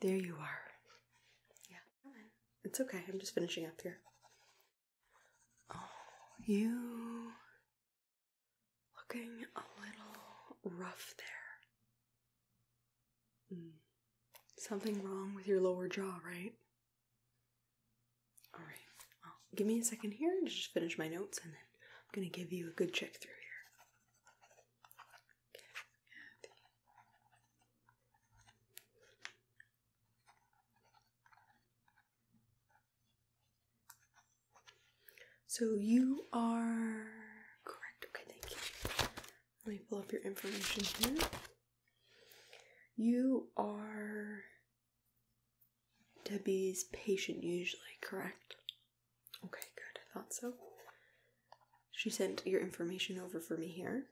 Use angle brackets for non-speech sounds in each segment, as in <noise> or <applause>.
there you are. Yeah, it's okay. I'm just finishing up here. Oh, <sighs> you looking a little rough there. Hmm. Something wrong with your lower jaw, right? All right. Well, give me a second here to just finish my notes, and then I'm gonna give you a good check through here. So you are correct. Okay, thank you. Let me pull up your information here. You are Debbie's patient, usually, correct? Okay, good. I thought so. She sent your information over for me here.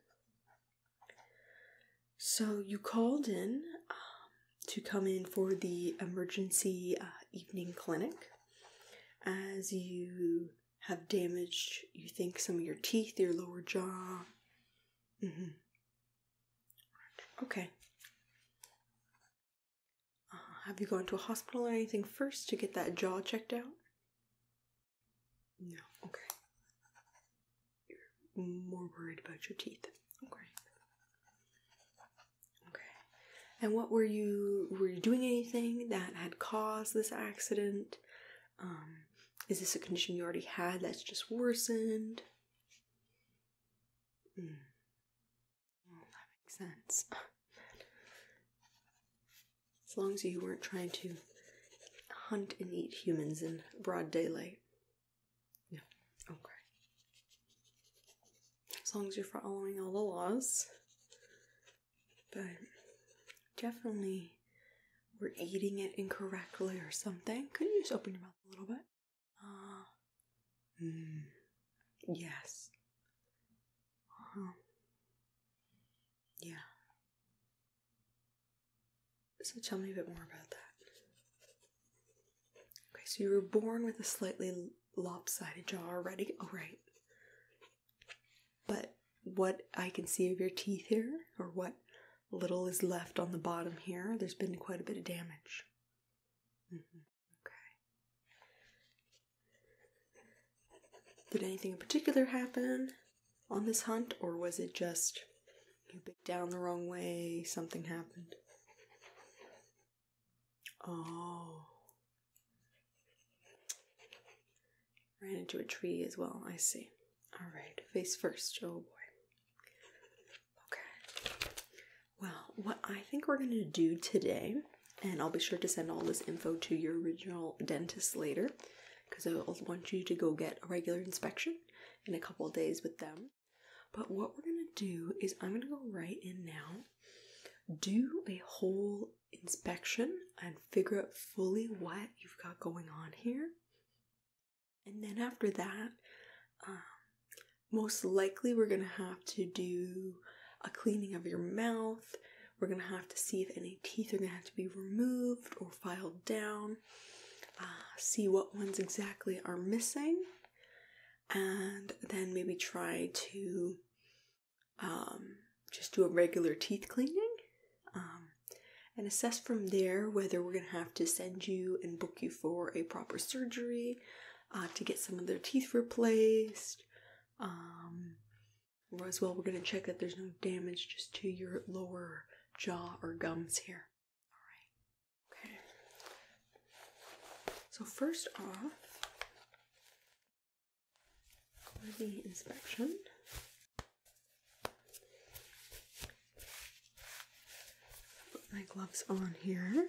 So you called in um, to come in for the emergency uh, evening clinic as you have damaged, you think, some of your teeth, your lower jaw. Mm-hmm. Okay. Uh, have you gone to a hospital or anything first to get that jaw checked out? No, okay you're more worried about your teeth. Okay. Okay. And what were you were you doing anything that had caused this accident? Um, is this a condition you already had that's just worsened? Mm. that makes sense. As long as you weren't trying to hunt and eat humans in broad daylight. Yeah. Okay. As long as you're following all the laws. But definitely we're eating it incorrectly or something. Could you just open your mouth a little bit? Ah. mm, yes. Uh-huh. Yeah. So tell me a bit more about that. Okay, so you were born with a slightly lopsided jaw already. All oh, right. But what I can see of your teeth here, or what little is left on the bottom here, there's been quite a bit of damage. Mm-hmm, okay. Did anything in particular happen on this hunt, or was it just you bit down the wrong way, something happened. Oh. Ran into a tree as well, I see. Alright, face first. Oh boy. Okay. Well, what I think we're gonna do today, and I'll be sure to send all this info to your original dentist later, because I'll want you to go get a regular inspection in a couple days with them. But what we're going to do is I'm going to go right in now, do a whole inspection and figure out fully what you've got going on here. And then after that, um, most likely we're going to have to do a cleaning of your mouth. We're going to have to see if any teeth are going to have to be removed or filed down. Uh, see what ones exactly are missing, and then maybe try to um, just do a regular teeth cleaning um, and assess from there whether we're going to have to send you and book you for a proper surgery uh, to get some of their teeth replaced. Um, or as well, we're going to check that there's no damage just to your lower jaw or gums here. All right. Okay. So first off, for the inspection, put my gloves on here.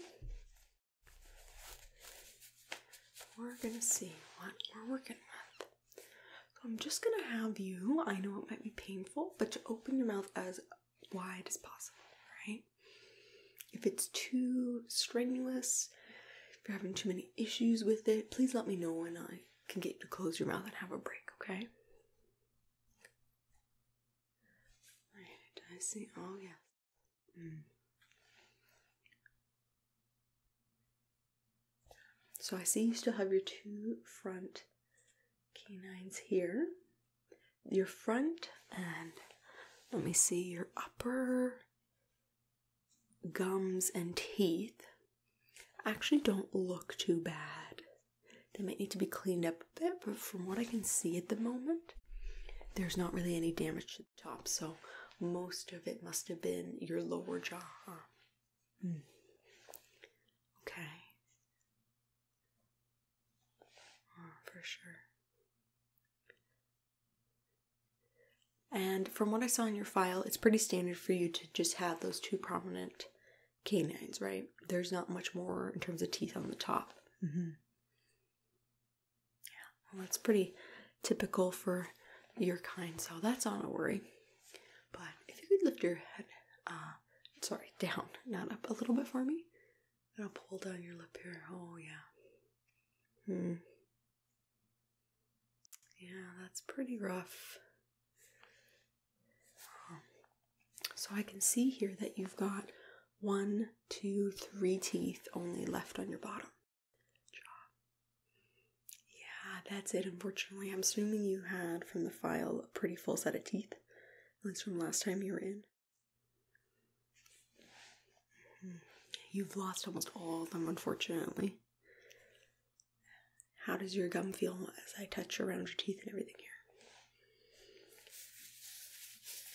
We're gonna see what we're working with. So I'm just gonna have you, I know it might be painful, but to open your mouth as wide as possible, right? If it's too strenuous, if you're having too many issues with it, please let me know and I can get you to close your mouth and have a break, okay? Right, I see. Oh, yes. Hmm. So I see you still have your two front canines here, your front, and let me see your upper gums and teeth actually don't look too bad. They might need to be cleaned up a bit, but from what I can see at the moment, there's not really any damage to the top, so most of it must have been your lower jaw Mm. Okay. Oh, for sure. And from what I saw in your file, it's pretty standard for you to just have those two prominent canines, right? There's not much more in terms of teeth on the top. Mm-hmm. Yeah, well, that's pretty typical for your kind, so that's not a worry. But if you could lift your head uh, sorry, <laughs> down, not up. A little bit for me. i will pull down your lip here. Oh yeah. Hmm. Yeah, that's pretty rough. Um, so I can see here that you've got one, two, three teeth only left on your bottom jaw. Yeah, that's it. Unfortunately, I'm assuming you had from the file pretty full set of teeth, at least from last time you were in. You've lost almost all of them, unfortunately. How does your gum feel as I touch around your teeth and everything here?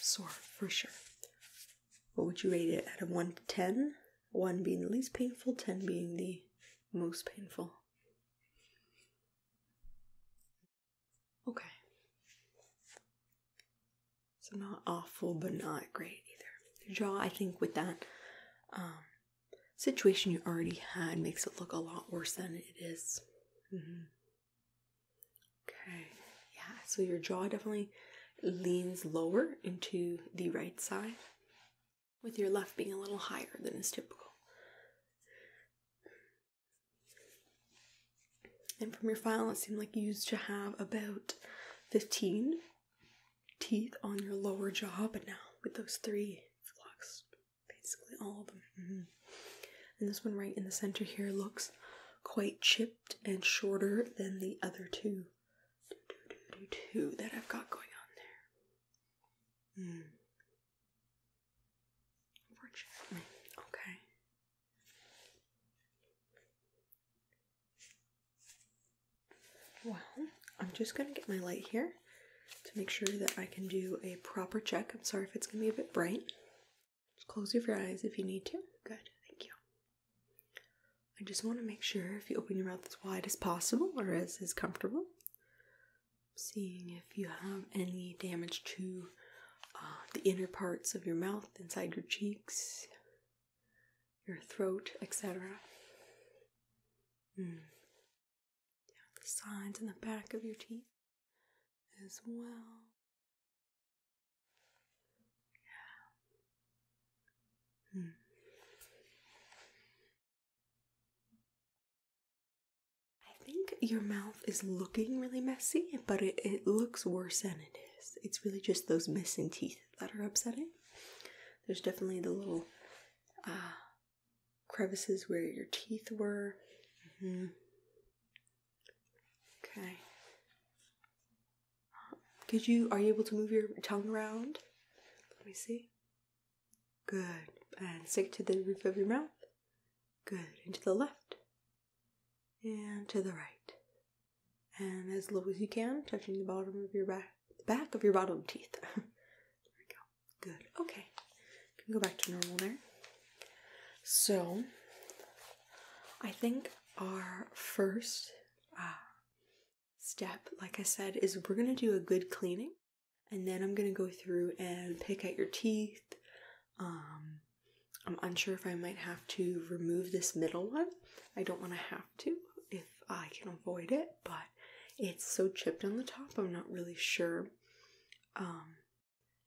Sore, for sure. What would you rate it out of 1 to 10? 1 being the least painful, 10 being the most painful. Okay. So not awful, but not great either. Your jaw, I think, with that um, situation you already had, makes it look a lot worse than it is. Mm-hmm. Okay. Yeah. So your jaw definitely leans lower into the right side with your left being a little higher than is typical. And from your file, it seemed like you used to have about 15 teeth on your lower jaw, but now with those three flux, basically all of them. Mm-hmm. And this one right in the center here looks quite chipped and shorter than the other two that I've got going on there. Mm okay. Well, I'm just gonna get my light here to make sure that I can do a proper check. I'm sorry if it's gonna be a bit bright. Just close your eyes if you need to. Good, thank you. I just want to make sure if you open your mouth as wide as possible or as is comfortable seeing if you have any damage to uh, the inner parts of your mouth, inside your cheeks, your throat, etc. Mm. the sides and the back of your teeth as well. Yeah. Hmm. I think your mouth is looking really messy, but it, looks worse than it is. It's really just those missing teeth that are upsetting. There's definitely the little uh, crevices where your teeth were. Mm-hmm. Okay. Could you, are you able to move your tongue around? Let me see. Good. And stick to the roof of your mouth. Good. into the left. And to the right. And as low as you can, touching the bottom of your back, the back of your bottom teeth. <laughs> there we go. Good. Okay. can go back to normal there. So, I think our first ah, step, like I said, is we're gonna do a good cleaning, and then I'm gonna go through and pick at your teeth. Um, I'm unsure if I might have to remove this middle one. I don't want to have to if I can avoid it, but it's so chipped on the top. I'm not really sure um,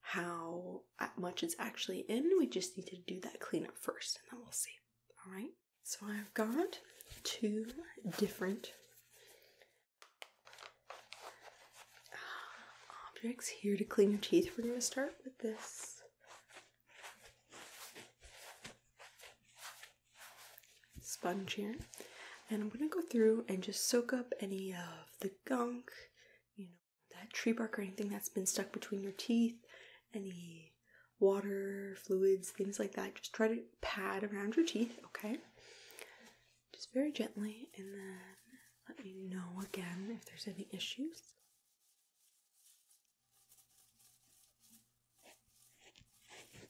how uh, much is actually in. We just need to do that cleanup first, and then we'll see. All right. So I've got two different um, objects here to clean your teeth. We're going to start with this. Sponge here, and I'm gonna go through and just soak up any of the gunk, you know, that tree bark or anything that's been stuck between your teeth, any water, fluids, things like that. Just try to pad around your teeth, okay? Just very gently, and then let me know again if there's any issues. Good.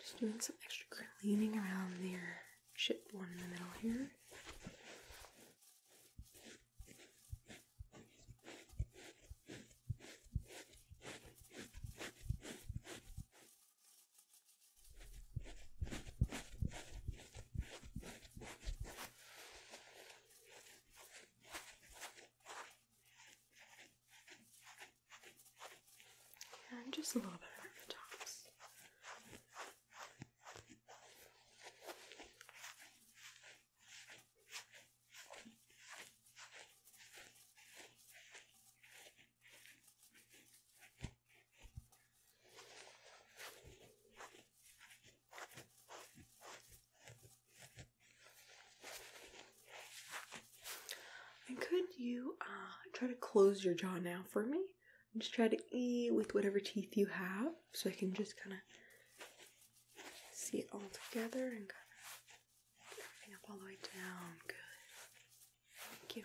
Just doing some extra cleaning around there. chip one in the middle here. And just a little bit over the tops. And could you uh, try to close your jaw now for me? just try to eat with whatever teeth you have so I can just kind of see it all together and kind of everything up all the way down. Good. Thank you.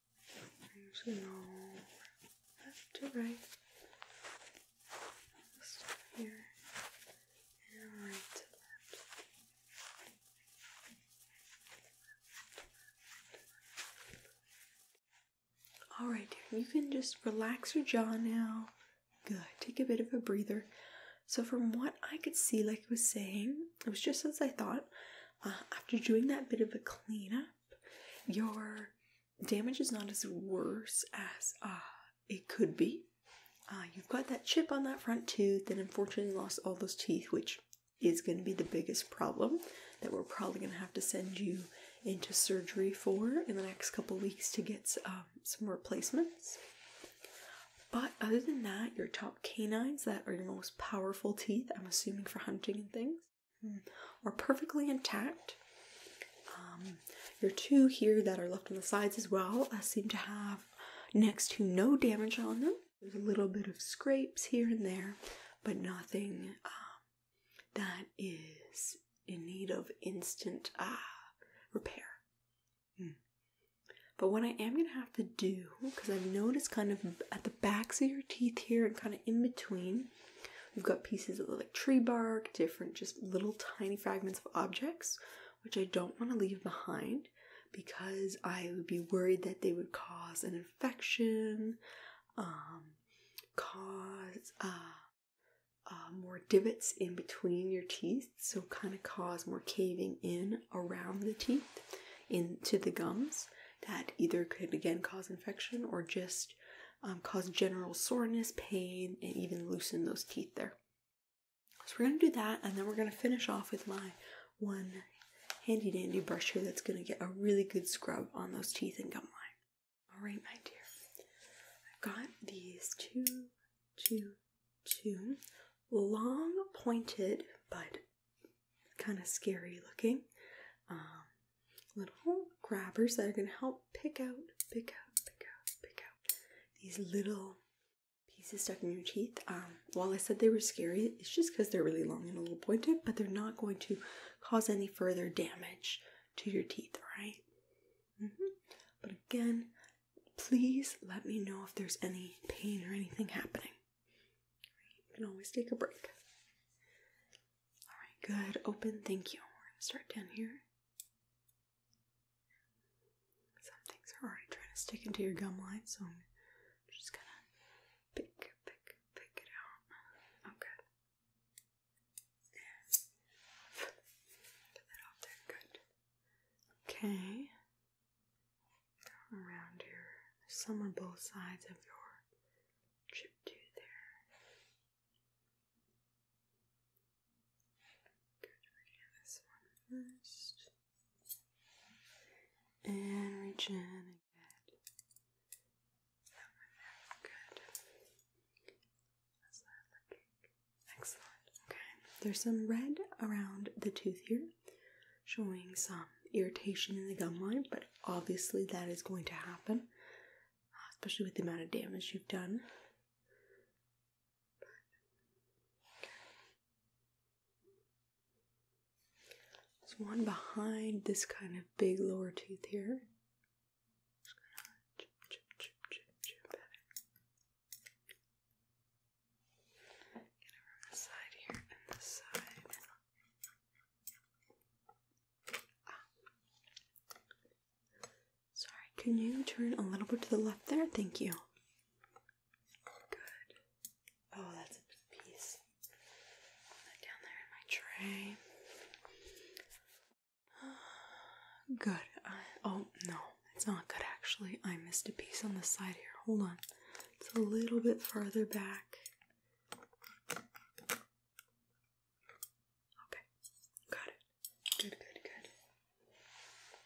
left to right. here and right to left. All right, you can just relax your jaw now. Good. Take a bit of a breather. So, from what I could see, like I was saying, it was just as I thought. Uh, after doing that bit of a cleanup, your damage is not as worse as uh, it could be. Uh, you've got that chip on that front tooth that unfortunately lost all those teeth, which is going to be the biggest problem that we're probably going to have to send you into surgery for in the next couple weeks to get um, some replacements. But other than that, your top canines that are your most powerful teeth, I'm assuming for hunting and things, hmm. are perfectly intact. Um, your two here that are left on the sides as well uh, seem to have next to no damage on them. There's a little bit of scrapes here and there, but nothing um, that is in need of instant uh, repair. Hmm. But what I am going to have to do, because I've noticed kind of at the backs of your teeth here and kind of in between, we've got pieces of like tree bark, different just little tiny fragments of objects, which I don't want to leave behind because I would be worried that they would cause an infection, um, cause uh, uh, more divots in between your teeth, so kind of cause more caving in around the teeth into the gums that either could again cause infection or just um, cause general soreness, pain, and even loosen those teeth there. So we're going to do that, and then we're going to finish off with my one handy dandy brush here that's going to get a really good scrub on those teeth and gum line. All right, my dear. I've got these two, two, two long pointed but kind of scary looking. Um, little grabbers that are going to help pick out, pick out, pick out, pick out these little pieces stuck in your teeth. Um, while I said they were scary, it's just because they're really long and a little pointed, but they're not going to cause any further damage to your teeth, right? Mm-hmm. But again, please let me know if there's any pain or anything happening. You can always take a break. All right, good. Open. Thank you. We're going to start down here. Some things are already trying to stick into your gum line, so I'm just going to pick, pick, pick it out. Okay. Get that off there. Good. Okay around your some on both sides of your trip tooth there. Good, we're this one first. And reach get that one Good. How's that looking? Excellent. Okay. There's some red around the tooth here showing some irritation in the gum line, but obviously that is going to happen, uh, especially with the amount of damage you've done. There's one behind this kind of big lower tooth here. Sorry, can you turn a little bit to the left there? Thank you. Good. Oh, that's a piece. that down there in my tray. <gasps> Good. oh, no. It's not good actually. I missed a piece on the side here. Hold on. It's a little bit further back. Okay. Got it. Good, good, good.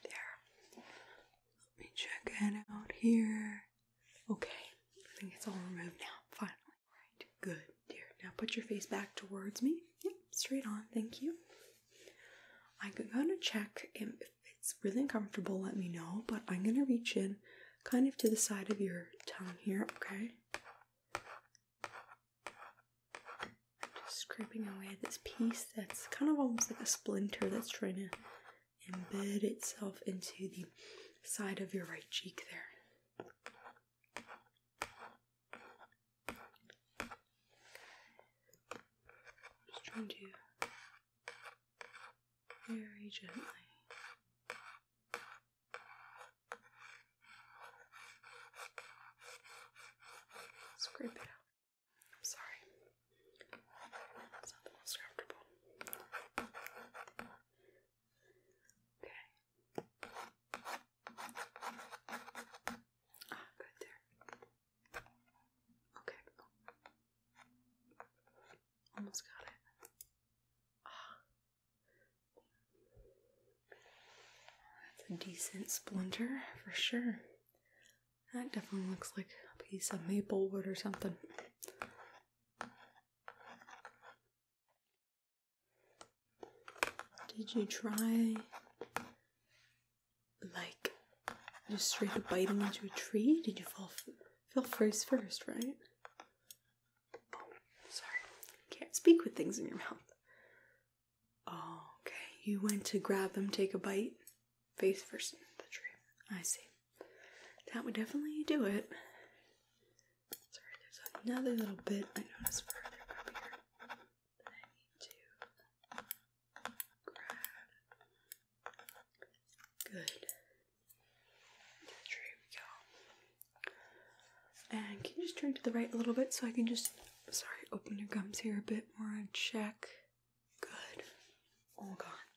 There. Let me check it out here. Okay. I think it's all removed now. Finally. Right. Good, dear. Now put your face back towards me. Yep. Straight on. Thank you. I'm gonna check if it's really uncomfortable, let me know. But I'm going to reach in kind of to the side of your tongue here, okay? just scraping away this piece that's kind of almost like a splinter that's trying to embed itself into the side of your right cheek there. Just trying to very gently. Scrape it out. sorry. It's not the most comfortable. Okay. Ah, good there. Okay. Almost got it. Ah. That's a decent splinter for sure. That definitely looks like a piece of maple wood or something. Did you try like, just straight up biting into a tree? Did you fall, fell face first, right? sorry. Can't speak with things in your mouth. okay. You went to grab them, take a bite, face first into the tree. I see. That would definitely do it. Sorry, there's another little bit I noticed further up here that I need to Good. There we go. And can you just turn to the right a little bit so I can just, sorry, open your gums here a bit more and check. Good. All gone.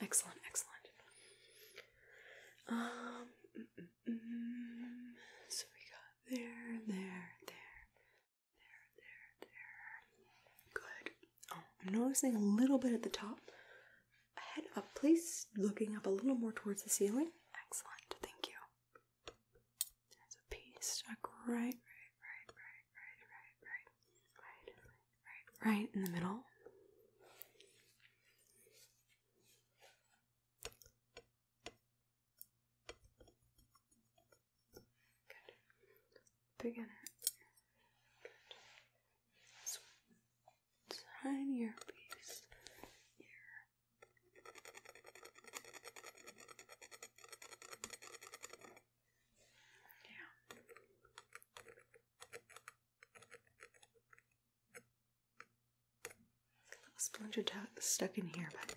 Excellent, excellent. Um, mm, mm, mm. so we got there, there, there there, there. Good. Oh, I'm noticing a little bit at the top. Head up, please. Looking up a little more towards the ceiling. Excellent. Thank you. There's a piece stuck right, right, right, right, right, right, right, right, right, right in the middle. Good. Beginner. Good. piece here. Yeah. A little splinter stuck in here, but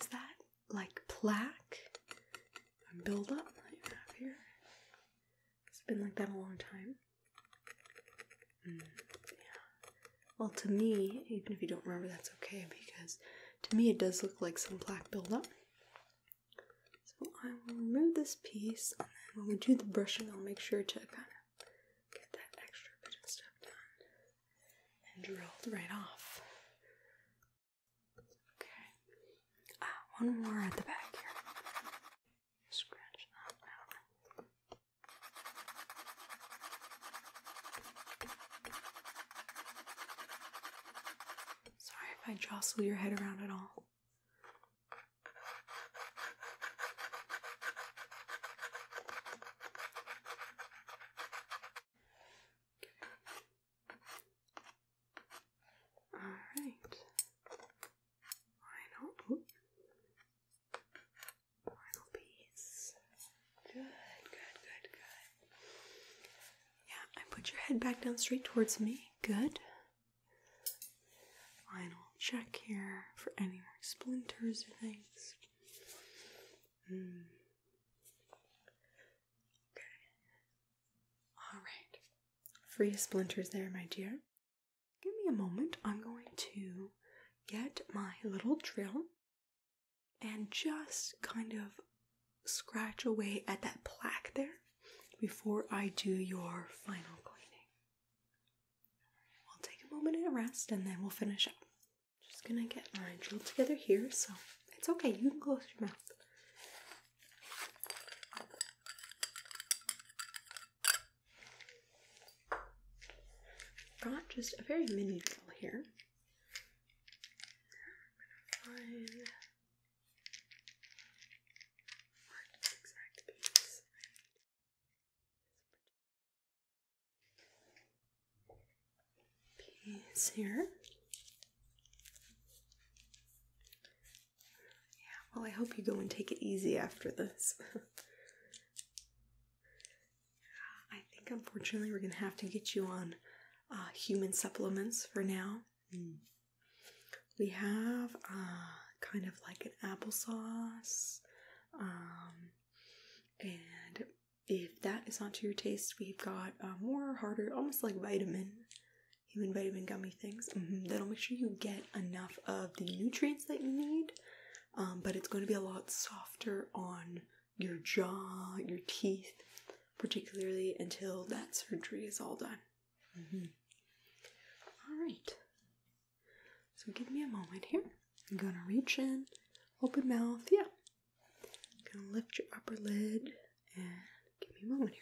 is that like plaque and buildup that here. It's been like that a long time. Hmm, well, to me, even if you don't remember, that's okay because to me it does look like some plaque buildup. So I will remove this piece, and when we do the brushing, I'll make sure to kind of get that extra bit of stuff done and drilled right off. Okay. Ah, one more at the back here. Scratch that out. Sorry if I jostle your head around at all. Alright. Final piece. Good, good, good, good. Yeah, and put your head back down straight towards me. Good. Final check here for any more splinters or things. Hmm. Okay. All right. Free splinters there, my dear. Give me a moment. I'm going to get my little drill and just kind of scratch away at that plaque there before I do your final cleaning. I'll take a moment and rest and then we'll finish up. Just gonna get my drill together here so it's okay, you can close your mouth. Got just a very mini drill here piece here. Yeah, well, I hope you go and take it easy after this. <laughs> I think, unfortunately, we're going to have to get you on uh, human supplements for now. Hmm. We have uh, kind of like an applesauce um, and if that is not to your taste, we've got uh, more harder, almost like vitamin, human vitamin gummy things. Mm-hmm. That'll make sure you get enough of the nutrients that you need, um, but it's going to be a lot softer on your jaw, your teeth, particularly until that surgery is all done. Mm-hmm. All right. So give me a moment here. I'm going to reach in, open mouth. Yeah, I'm gonna lift your upper lid and give me a moment here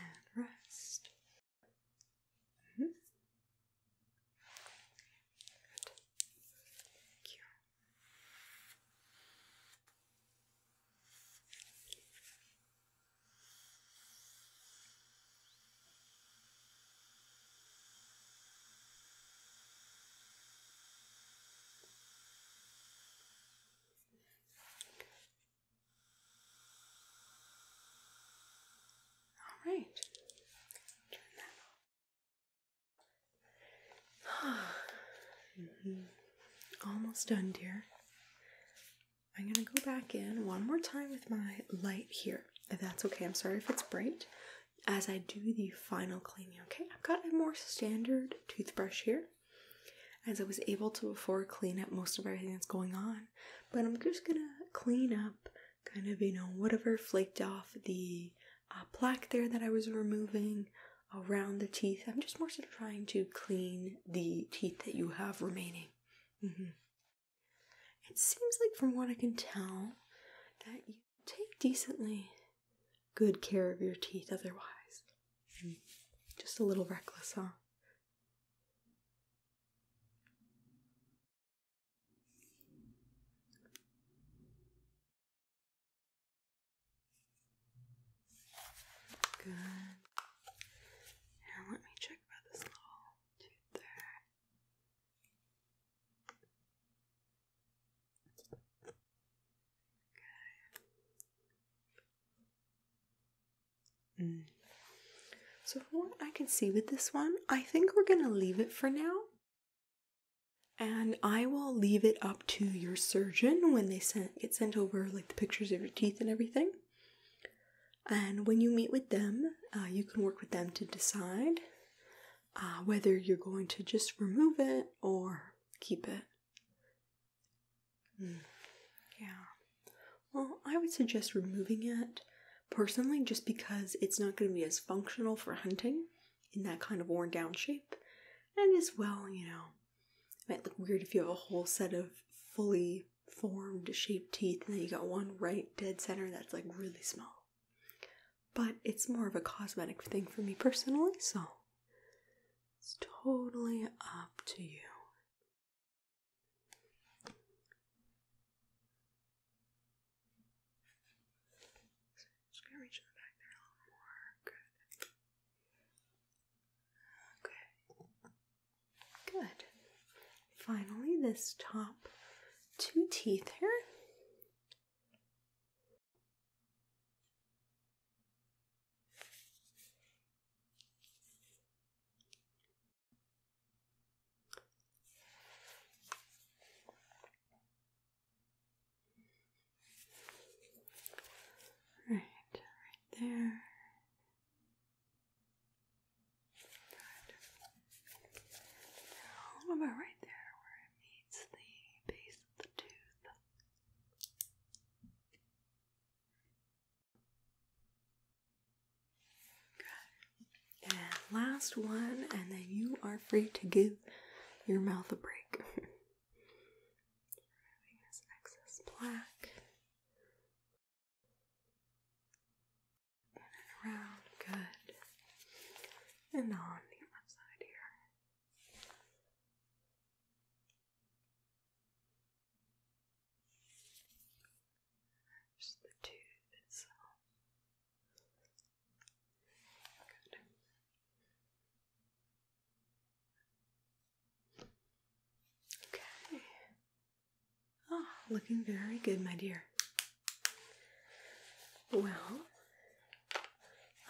and rest. -hmm. Good. Thank you. All right. Turn <sighs> that off. mm -hmm. Almost done, dear. I'm going to go back in one more time with my light here. If that's okay, I'm sorry if it's bright. As I do the final cleaning, okay? I've got a more standard toothbrush here. As I was able to before clean up most of everything that's going on, but I'm just gonna clean up kind of, you know, whatever flaked off the uh, plaque there that I was removing around the teeth. I'm just more so trying to clean the teeth that you have remaining. Mm-hmm. It seems like, from what I can tell, that you take decently good care of your teeth otherwise. Hmm. Just a little reckless, huh? Good. Now let me check about this little tooth there. Mm. So, from what I can see with this one, I think we're going to leave it for now. And I will leave it up to your surgeon when they send, get sent over like the pictures of your teeth and everything. And when you meet with them, uh, you can work with them to decide uh, whether you're going to just remove it or keep it. Hmm. Yeah. Well, I would suggest removing it personally just because it's not going to be as functional for hunting in that kind of worn down shape. And as well, you know, it might look weird if you have a whole set of fully formed shaped teeth and then you got one right dead center that's like really small. But it's more of a cosmetic thing for me personally, so it's totally up to you. just gonna reach the back there more. Good. Okay. Good. Finally, this top two teeth here. Right, right there about right there where it meets the base of the tooth. Good. And last one, and then you are free to give your mouth a break. <laughs> Removing this excess plaque and around, good, and on the other side here. Just the tooth Good. Okay. Oh, looking very good, my dear. Well,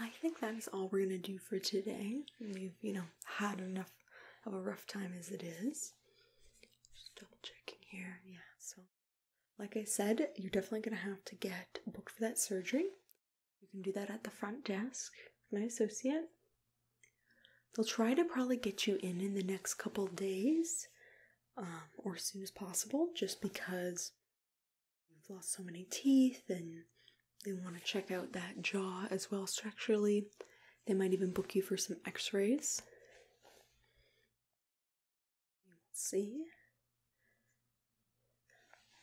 I think that is all we're going to do for today. We've, you know, had enough of a rough time as it is. Just double checking here. Yeah, so like I said, you're definitely going to have to get booked for that surgery. You can do that at the front desk my associate. They'll try to probably get you in in the next couple days. Um, or as soon as possible just because you've lost so many teeth and they want to check out that jaw as well structurally. They might even book you for some x rays. You will see.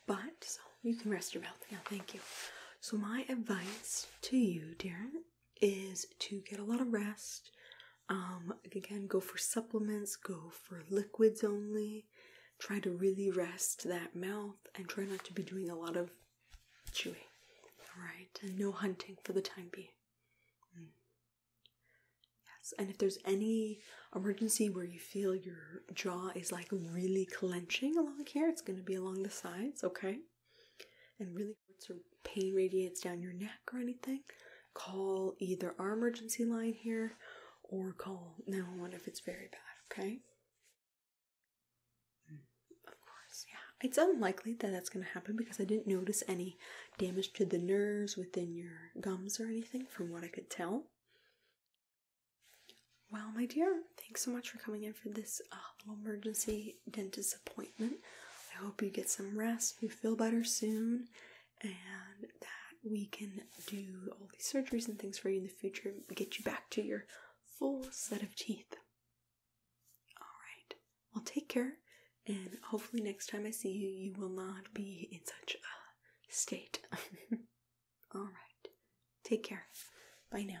But so you can rest your mouth now, thank you. So, my advice to you, Darren, is to get a lot of rest. Um, again, go for supplements, go for liquids only. Try to really rest that mouth and try not to be doing a lot of chewing. Alright, and no hunting for the time being. Hmm. Yes, and if there's any emergency where you feel your jaw is like really clenching along here, it's going to be along the sides, okay? And really really hurts pain radiates down your neck or anything, call either our emergency line here or call 911 if it's very bad, okay? Hmm. Of course, yeah. It's unlikely that that's going to happen because I didn't notice any damage to the nerves within your gums or anything from what I could tell. Well, my dear, thanks so much for coming in for this uh, little emergency dentist appointment. I hope you get some rest, you feel better soon, and that we can do all these surgeries and things for you in the future and get you back to your full set of teeth. Alright, well, take care, and hopefully, next time I see you, you will not be in such a state. <laughs> Alright, take care. Bye now.